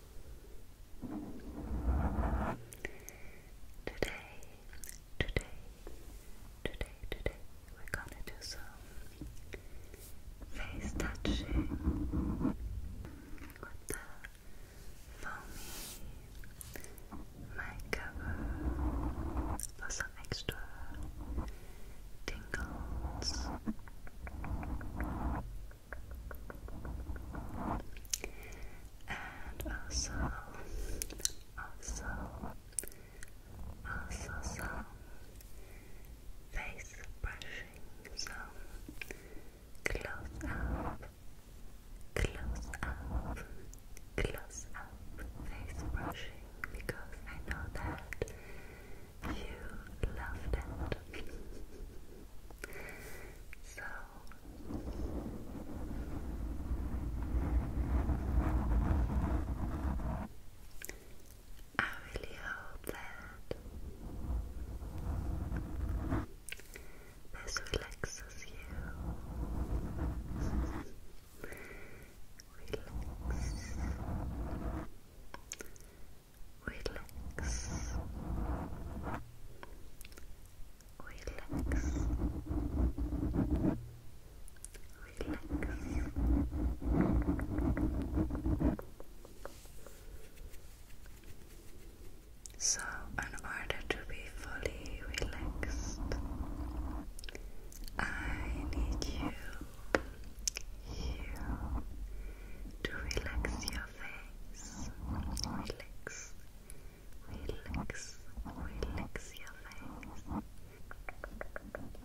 Today, today, today, today, we're gonna do some face touching with the foamy mic cover some extra tingles and also, also, also some face brushing, so close up, close up, close up face brushing because I know that you loved it. So I really hope that this relaxes you. Relax relax, relax, relax. So, in order to be fully relaxed, I need you, you to relax your Relax. Relax. Relax your face.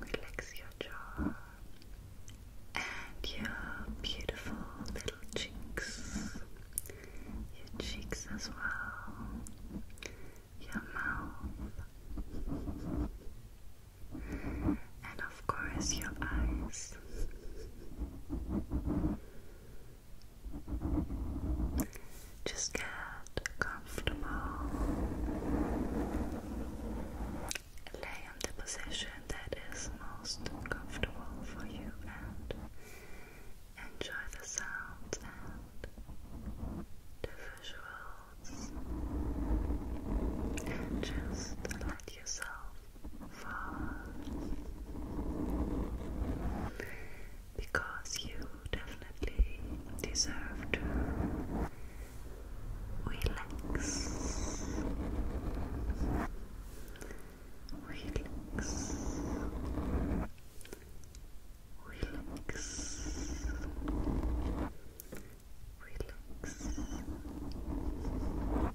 Relax your jaw. And your beautiful little cheeks. Your cheeks as well. Your mouth. And of course, your eyes. Just get comfortable. Lay on the position that is most comfortable for you and enjoy the sounds and the visuals. just let yourself falls because you definitely deserve to relax. Relax. Relax. Relax.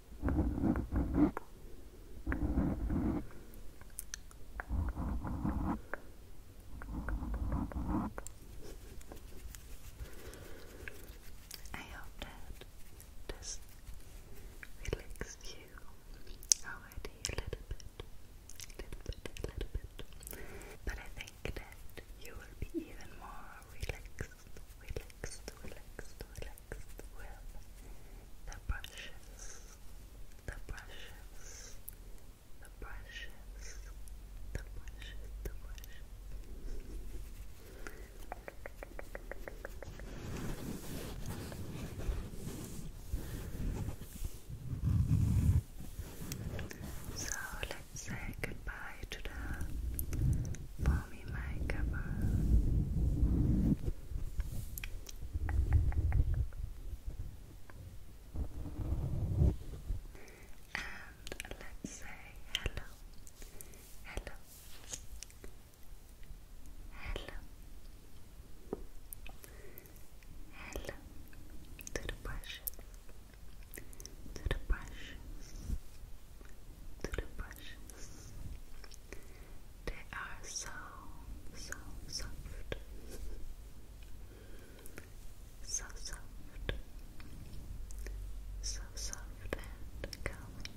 I hope that this relaxed you a little bit, little bit, little bit. But I think that you will be even more are relaxed, relaxed, relaxed, relaxed the brushes, the brushes, the brushes, the brushes, the brushes. So say goodbye to the foamy makeover. And let's say hello, hello, hello, hello to the brushes to the brushes, to the brushes. They are so, so soft, so soft, so soft and calming.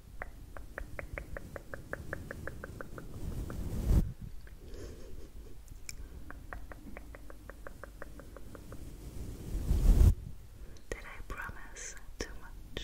Did I promise too much?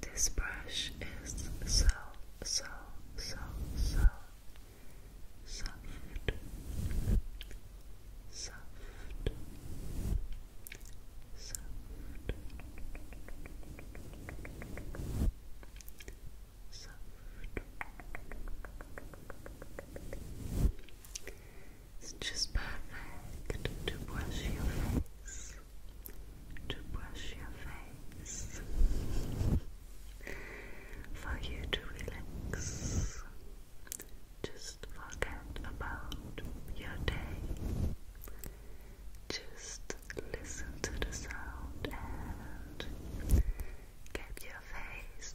This brush is so, so, so, so soft, soft, soft. Soft. It's just perfect to brush your face, to brush your face, for you to relax. Just forget about your day. Just listen to the sound and Keep your face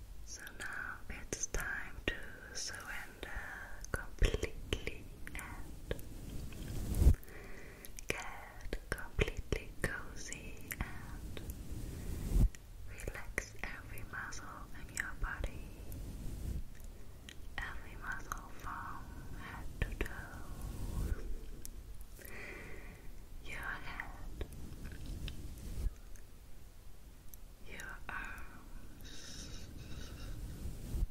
So now it's time to surrender completely get completely cozy and relax every muscle in your body, every muscle from head to toe. Your head, your arms. Um,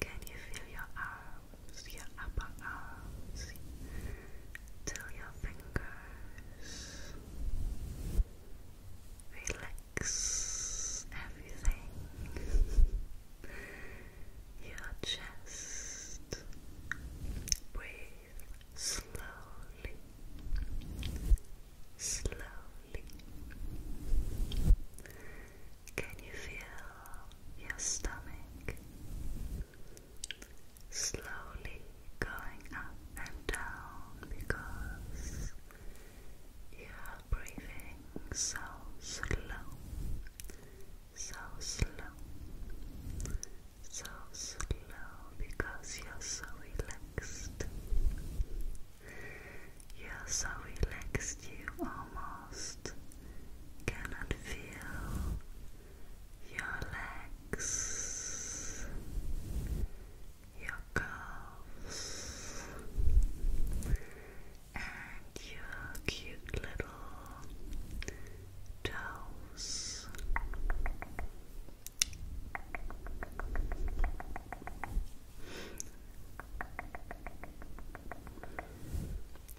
can you feel your arms, your upper arms, till your fingers? Relax everything. Your chest. Breathe slowly, slowly. Can you feel your stomach slowly going up and down because you are breathing so slow, so slow? so slow because you're so relaxed. You're so relaxed you almost cannot feel your legs, your calves, and your cute little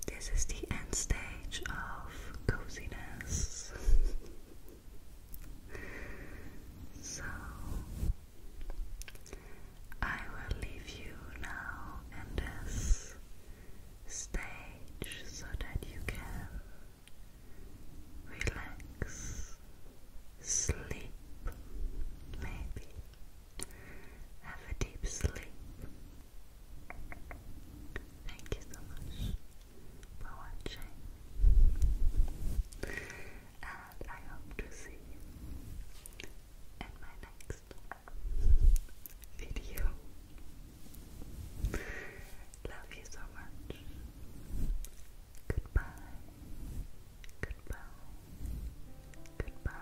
this is the end stage of coziness. so I will leave you now in this stage so that you can relax, sleep, maybe have a deep sleep. Thank you so much for watching, and I hope to see you in my next video. Love you so much. Goodbye. Goodbye. Goodbye.